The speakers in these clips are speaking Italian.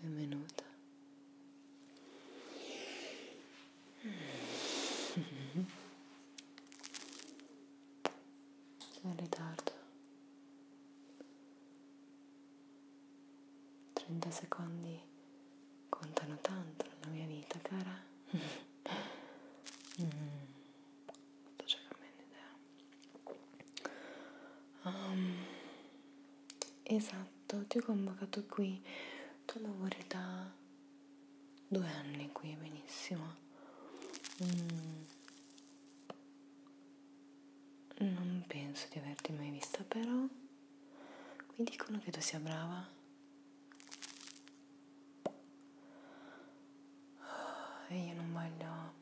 Benvenuta. Sei in ritardo. 30 secondi contano tanto nella mia vita, cara. mm. Sto cercando un'idea. Um, esatto, ti ho convocato qui. Tu lavori da due anni qui, benissimo. Mm. Non penso di averti mai vista, però mi dicono che tu sia brava e ah, io non voglio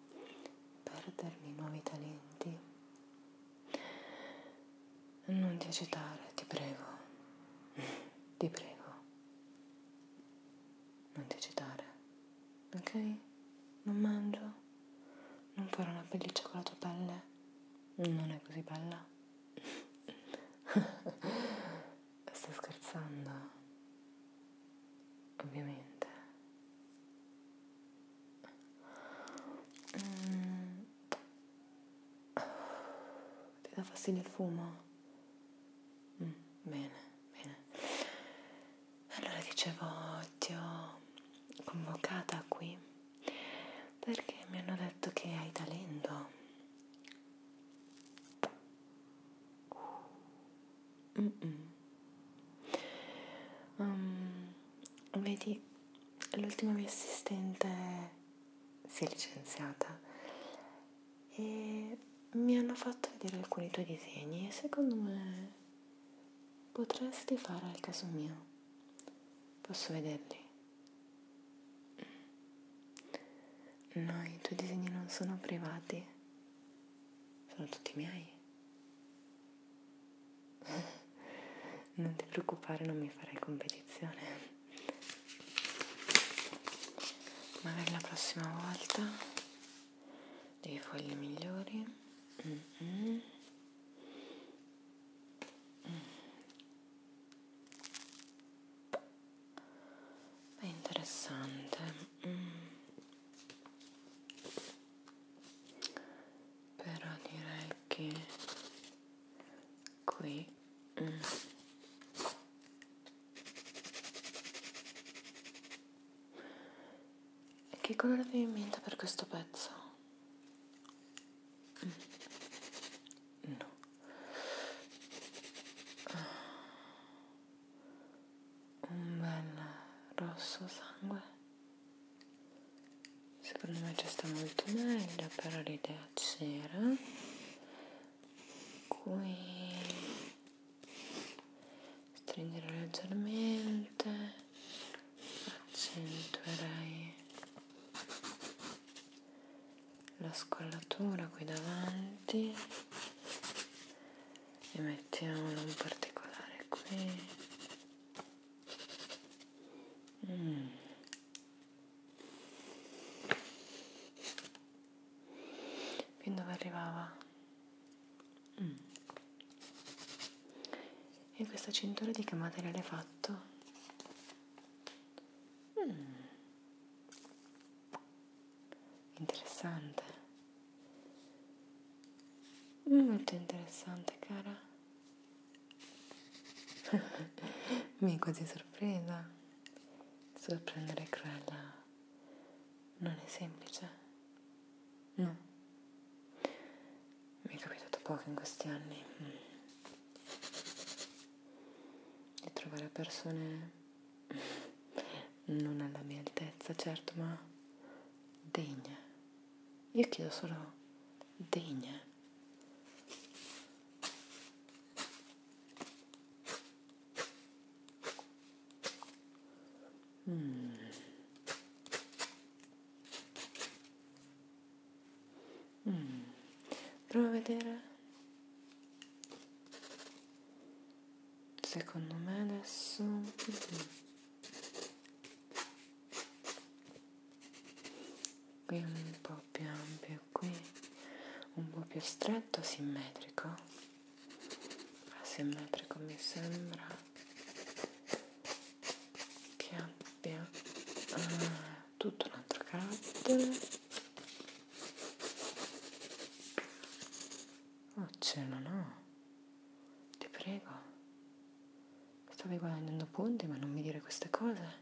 perdermi nuovi talenti. Non ti agitare, ti prego, ti prego. Non ti agitare, ok? Non mangio, non farò una pelliccia con la tua pelle, non è così bella. sta scherzando? Ovviamente. Mm. Ti dà fastidio il fumo? Mm, bene, bene. Allora dicevo, ti ho convocata qui perché mi hanno detto che hai talento. Mm -mm. Um, vedi, l'ultima mia assistente si è licenziata e mi hanno fatto vedere alcuni tuoi disegni e secondo me potresti fare al caso mio. Posso vederli? No, i tuoi disegni non sono privati, sono tutti miei. non ti preoccupare, non mi farai competizione. Magari la prossima volta dei fogli migliori. Mm -mm. Mm è interessante mm. però direi che qui mm. che colore avevi in mente per questo pezzo? Mm. no un bel rosso sangue secondo me ci sta molto meglio però l'idea c'era qui stringere leggermente accentuerei la scollatura qui davanti e mettiamolo un particolare qui mm. fin dove arrivava mm. e questa cintura di che materiale è fatto? Mm. Interessante. Molto interessante, cara. Mi è quasi sorpresa. Sorprendere Cruella non è semplice. No. Mi è capitato poco in questi anni. Mm di trovare persone non alla mia altezza, certo, ma degne. Io chiedo solo degne. Mm. Mm. Prova a vedere. Secondo me adesso... Mm. Qui un po' più ampio, qui un po' più stretto, simmetrico. Asimmetrico ah, mi sembra che abbia... Ah tutto un altro carattere oh ce no no ti prego mi stavi guadagnando punti ma non mi dire queste cose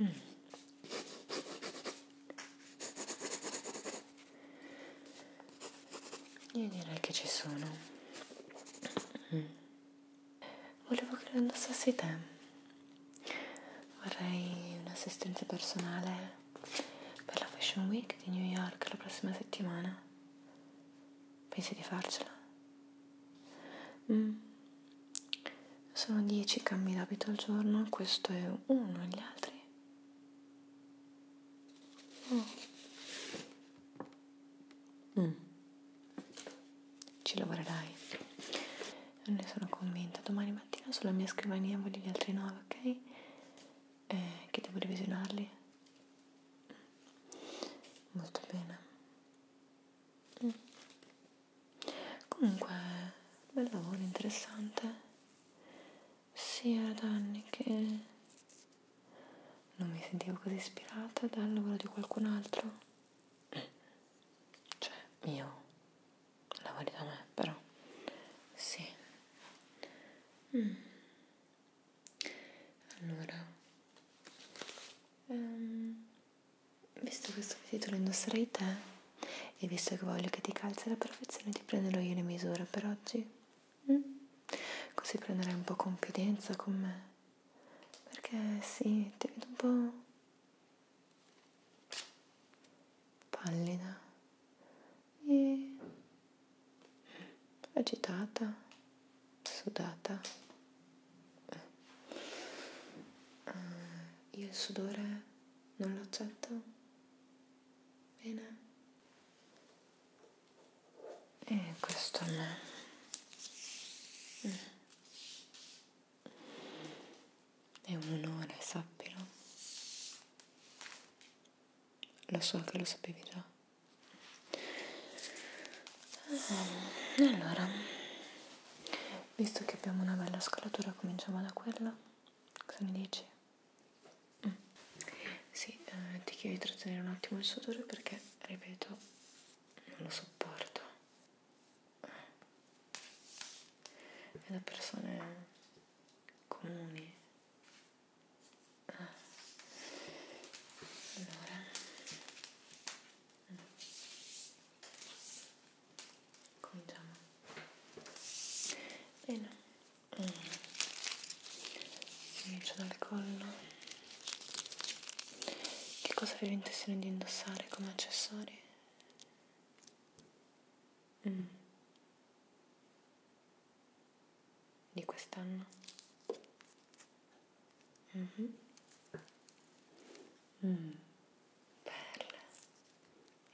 mm. Io direi che ci sono. Volevo che lo indossassi te. Vorrei un'assistenza personale per la Fashion Week di New York la prossima settimana. Pensi di farcela? Mm. Sono 10 cambi d'abito al giorno, questo è uno, gli altri Oh. Mm. Ci lavorerai. Non ne sono convinta. Domani mattina sulla mia scrivania voglio gli altri nove, ok? Eh, che devo revisionarli. Mm. Molto bene. Mm. Comunque, bel lavoro, interessante sia da anni che non mi sentivo così ispirata dal lavoro di qualcun altro. Cioè, io lavori da me, però. Sì. Mm. Allora, um, visto questo vestito lo indosserei te e visto che voglio che ti calzi alla perfezione ti prenderò io le misure per oggi. Mm? Così prenderai un po' confidenza con me. Perché sì, ti vedo un po' pallida e agitata, sudata. Eh, io il sudore non lo accetto. Bene e eh, questo no mm. è un onore sappilo lo so che lo sapevi già ah, allora visto che abbiamo una bella scalatura cominciamo da quella cosa ne dici? Mm. Sì, eh, ti chiedo di trattenere un attimo il sudore perché, ripeto, non lo sopporto. È da persone comuni. Ah. Allora cominciamo bene mm. inizio dal collo che cosa avevi intenzione di indossare come accessori? Mm. di quest'anno mm -hmm. mm. perle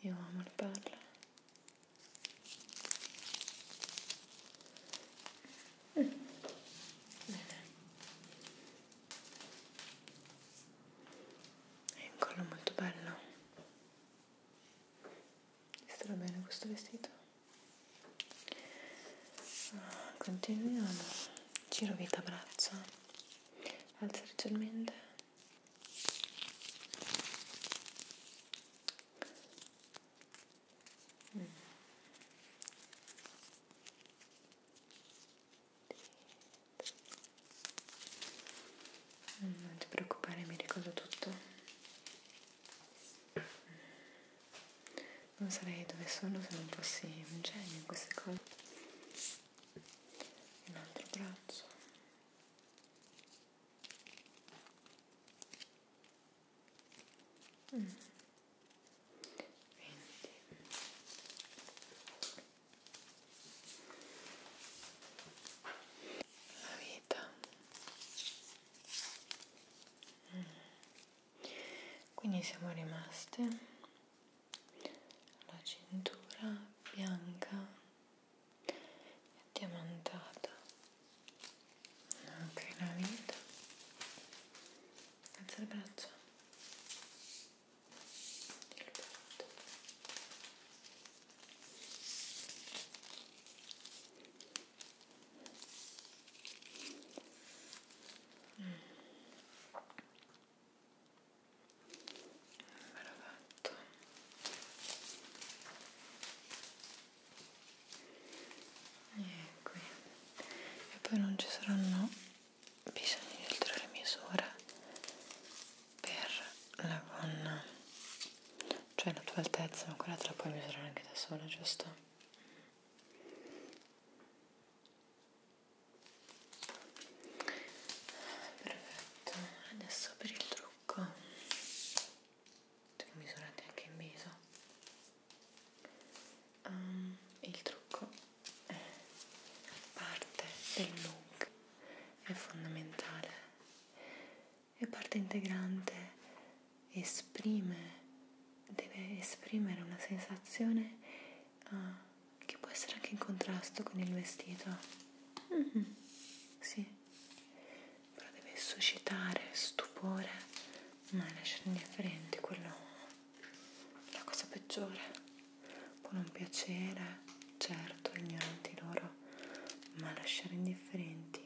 io amo il ballo. Mm. È un collo molto bello. Ti starà bene questo vestito? Continuiamo. Giro vita braccia. Alza leggermente. Mm. Non ti preoccupare, mi ricordo tutto. Non sarei dove sono se non fossi un genio in queste cose. Un altro braccio. Mm. la vita mm. quindi siamo rimaste la cintura bianca e diamantata anche la vita alza le braccia il petto Mm me lo metto e qui e poi non ci saranno bisogno di altre misure per la gonna cioè la tua altezza ma quella te la puoi misurare anche da sola giusto perfetto adesso per il trucco misurate anche in viso um, il trucco è parte del look è fondamentale è parte integrante esprime deve esprimere una sensazione ah, che può essere anche in contrasto con il vestito. Mm-hmm. Sì, però deve suscitare stupore, ma lasciare indifferenti, quello è la cosa peggiore. Può non piacere, certo, ignoranti loro, ma lasciare indifferenti,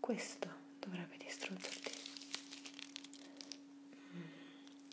questo dovrebbe distruggerti. Mm.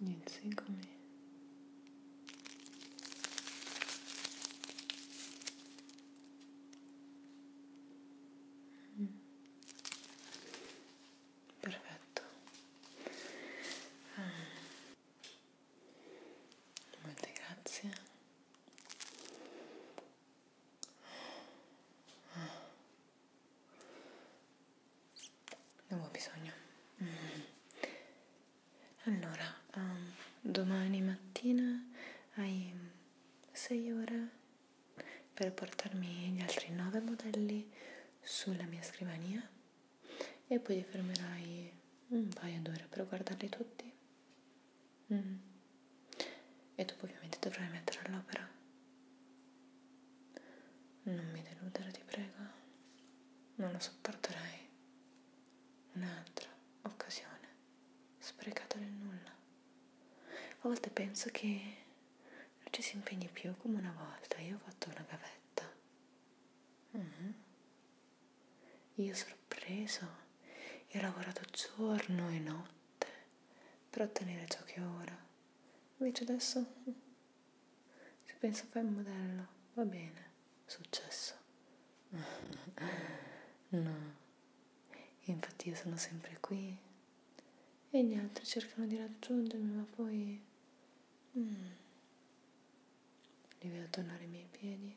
Niente, seguimi. Mm. Perfetto. Ah. Molte grazie. Ah. Ne ho bisogno. Mm. Allora, um, domani mattina hai 6 ore per portarmi gli altri 9 modelli sulla mia scrivania e poi ti fermerai un paio d'ore per guardarli tutti. Mm. E dopo ovviamente dovrai mettere all'opera. Non mi deludere, ti prego. Non lo sopporterei. Un'altra occasione sprecata nel nulla. A volte penso che non ci si impegni più come una volta. Io ho fatto una gavetta. Mm-hmm. Io sorpreso e ho lavorato giorno e notte per ottenere ciò che ora invece adesso si pensa fai un modello va bene successo no infatti io sono sempre qui e gli altri cercano di raggiungermi ma poi mm, li vedo tornare ai miei piedi